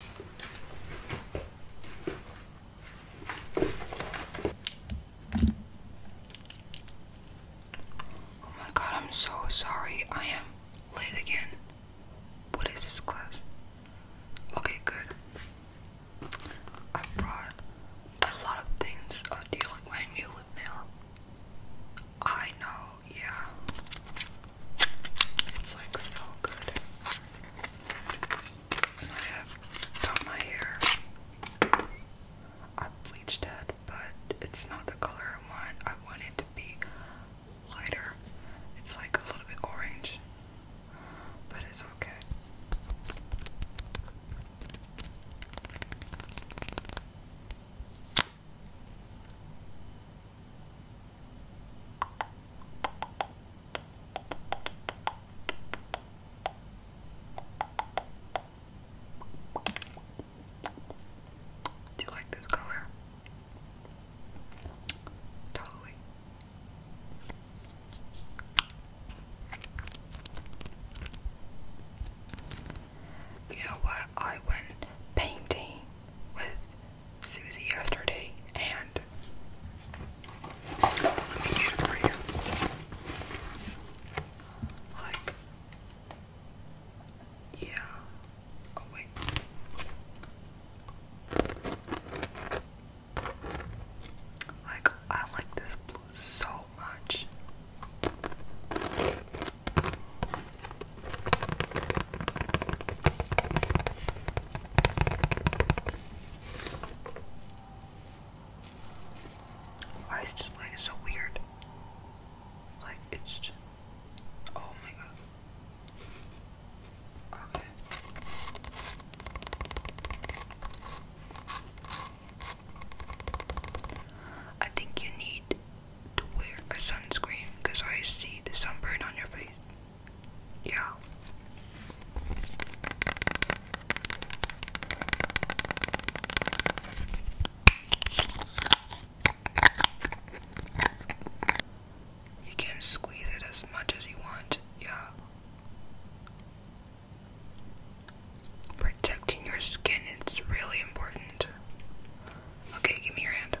Oh my god, I'm so sorry. I am late again. What is this class? Okay, good. I brought a lot of things of dealing with my new lip nail. I know, yeah. It's like so good. I have done my hair. I bleached it, but it's not the color I want. I want it to be lighter. It's like a little bit orange, but it's okay. Do you like this color? Totally. You know what? I went painting with Susie yesterday, and yeah. Oh wait. Like, I like this blue so much. Why is this light so weird? Like it's oh my god. Okay. I think you need to wear a sunscreen because I see the sunburn on your face. Yeah. You can squeeze it as much as you want, yeah. Protecting your skin is really important. Okay, give me your hand.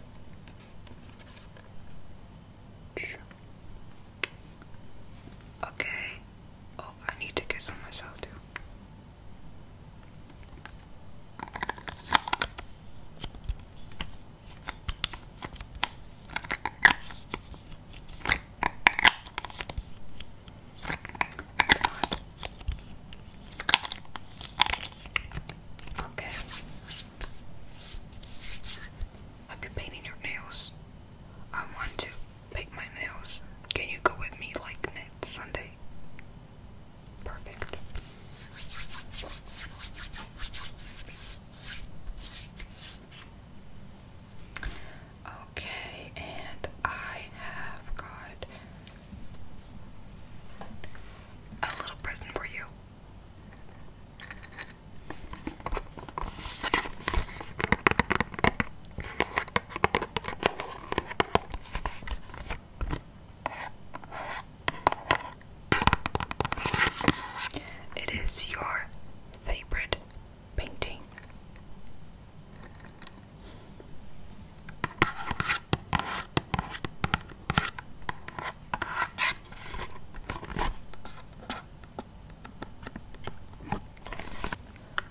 Okay. Oh, I need to get some myself too. It's Okay. Have you painted your nails? I want to paint my nails. Can you go with me like Sunday? Perfect. Okay, and I have got a little present for you. It is your favorite painting.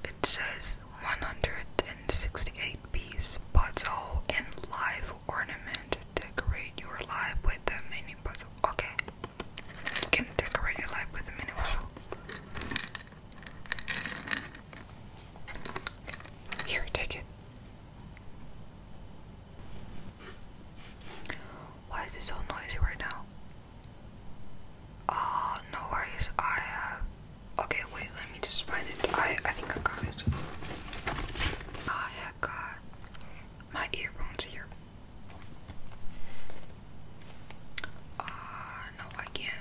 It says 168 piece puzzle and live ornament. Decorate your life with a mini puzzle. Okay. can decorate your life with a mini puzzle. Here, take it. Why is it so noisy right now? Ah, no worries. I have. Uh, okay, wait. Let me just find it. I I think I got it. I have got my earphones here. Ah, no, I can't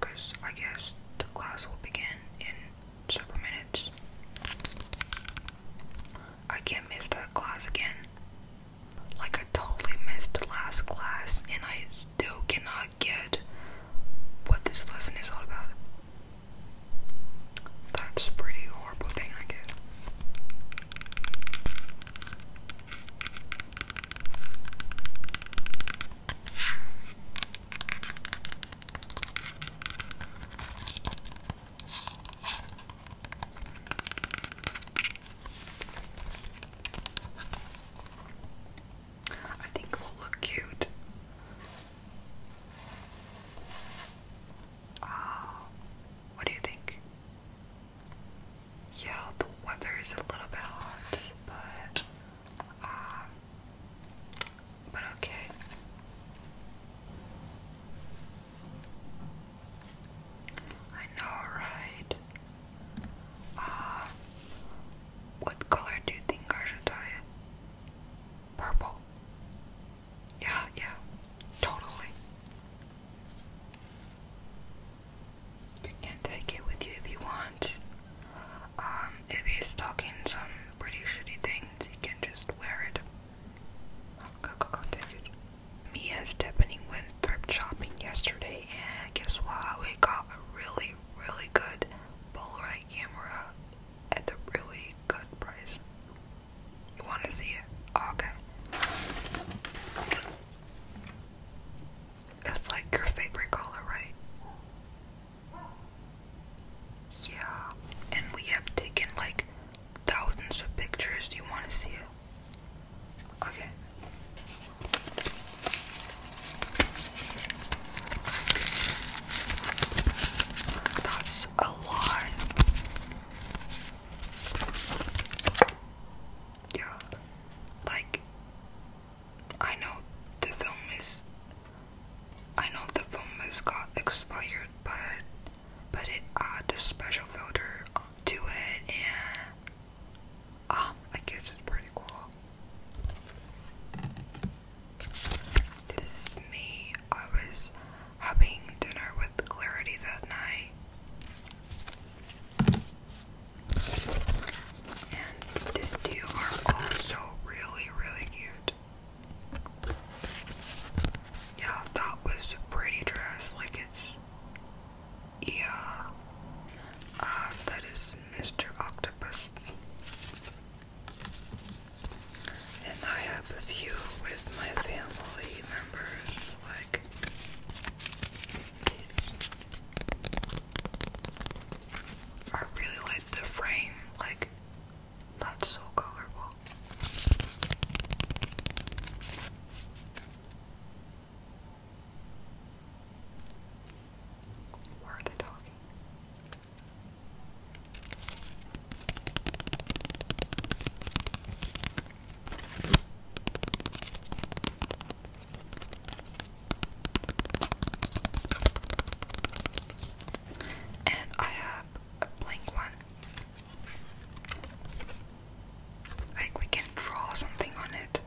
because I guess the class will begin in several minutes. I can't miss that class again. Like, I totally missed the last class, and I still cannot get what this lesson is all about. That's a pretty horrible thing, I guess. I think it will look cute. Oh, what do you think? Yeah, the weather is a little bit hot, but but ah, okay. I know, right? Uh, what color do you think I should dye it? Purple. Yeah, yeah, totally. You can take it with you if you want. Um, if he's talking some pretty shitty things, you can just wear it. go, go, go, Me and Stephanie went thrift shopping yesterday, and guess what? We got a really, really good Polaroid camera at a really good price. You want to see it? okay. That's like your favorite color, right? Yeah, and we have taken like thousands of pictures. Do you want to see it? Okay. That's a lot. Yeah, like I know the film is. I know the film has got expired, but but it added a special filter to it, and ah, I guess it's pretty cool. This is me. I was having dinner with Clarity that night. And these two are also really, really cute. Yeah, that was a pretty dress. Like it's, yeah. Uh, that is Mr. Octopus. And I have a few with my family members, like I really like the frame, like that's so colorful. Where are they talking? And I have a blank one. Like we can draw something on it.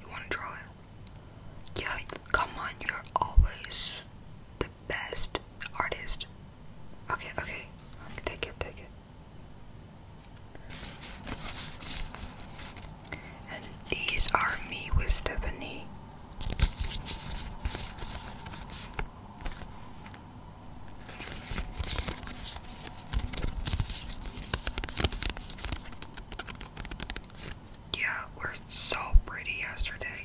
You wanna draw it? Yeah, come on, you're always the best artist. Okay, okay. Take it, take it. And these are me with Stephanie. Yeah, we're so pretty yesterday.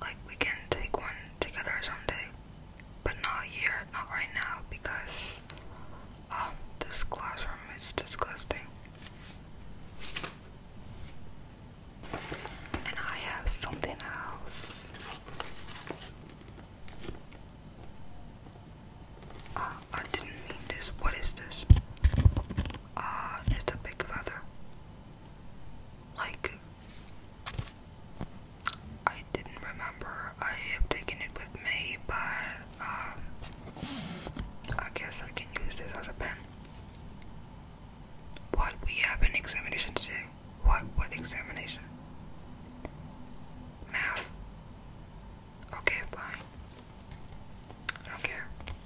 Like, we can take one together someday, but not here, not right now, because, oh, this classroom is disgusting. And I have something else. Uh, I didn't mean this. What is this? Uh, it's a big feather. Like, I didn't remember I have taken it with me, but um, I guess I can use this as a pen. What we have an examination today? What what examination? Math. Okay, fine. I don't care.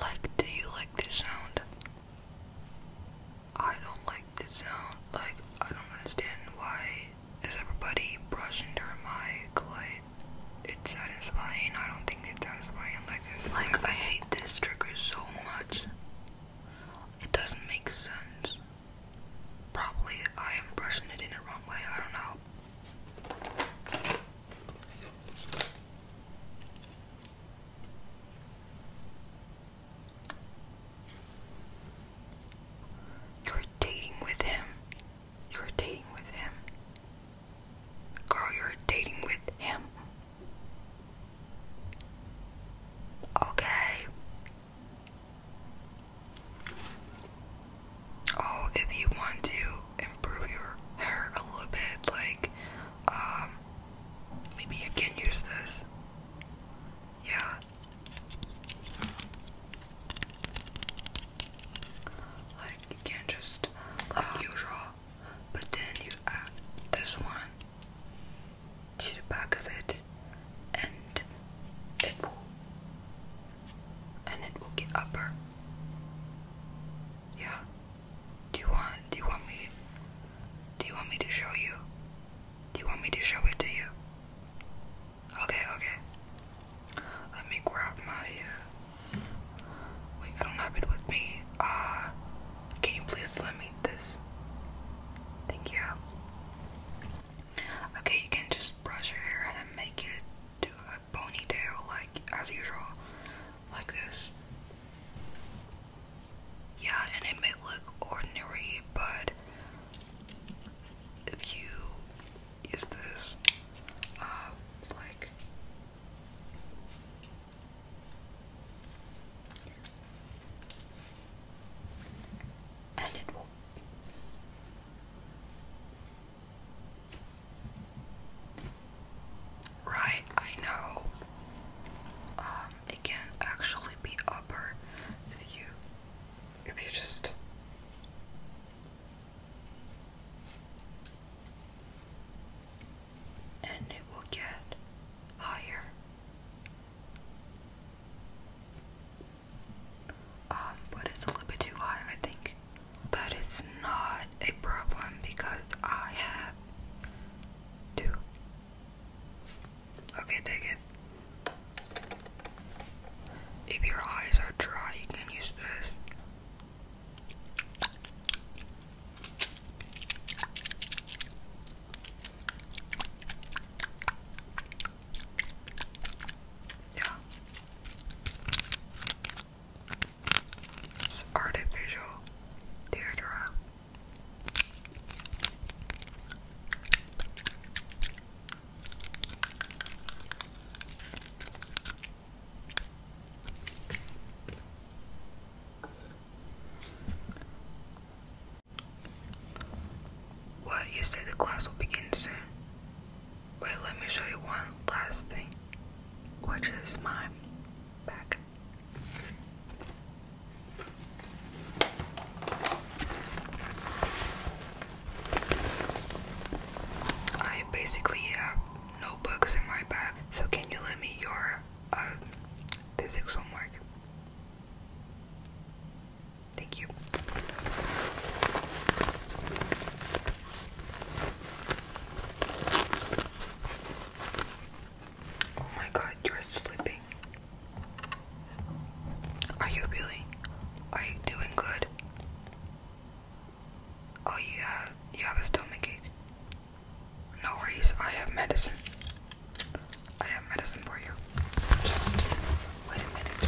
Like, do you like this sound? I don't like this sound. Like, I don't understand why is everybody brushing their mic. Like, it's satisfying. I don't think it's satisfying like this. Like, I hate this trigger so much. It doesn't make sense. Probably I am brushing it in the wrong way. I don't know. You're dating with him. You're dating with him. Girl, you're dating with him. Okay. Oh, if you want to improve your hair a little bit, like, um, maybe you can use this. Yeah. Like, you can just, like usual, but then you add this one to the back of it, and it will and it will get upper. Yeah. Do you want do you want me do you want me to show you? Do you want me to show it to you? Okay, okay. Let me grab my uh, wait, I don't have it with me. Uh can you please lend me this? Thank you. Okay, you can just brush your hair and make it do a ponytail, like as usual, like this. Yeah, and it may look ordinary, but if you use this, uh, like. And it will Right, I know. Um, it can actually be upper if you if you just and it will get higher um, but it's a little bit too high, I think. That is not a problem because I have two. Okay, take it. If your eyes are dry, you can use this. Yeah. It's artificial deodorant. What? You said the class will begin soon. Wait, let me show you one last thing, which is my back. I basically have no books in my bag, so can you lend me your uh, physics homework? Thank you. Oh my god, you're sleeping. Are you really? Are you doing good? Oh, you have, you have a stomachache. No worries, I have medicine. I have medicine for you. Just wait a minute.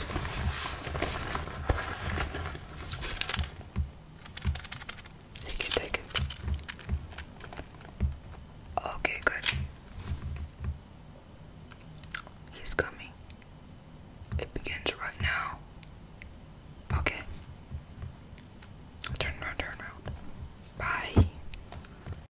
Take it, take it. Okay, good. He's coming. It begins right now. Okay. Turn around, turn around. Bye.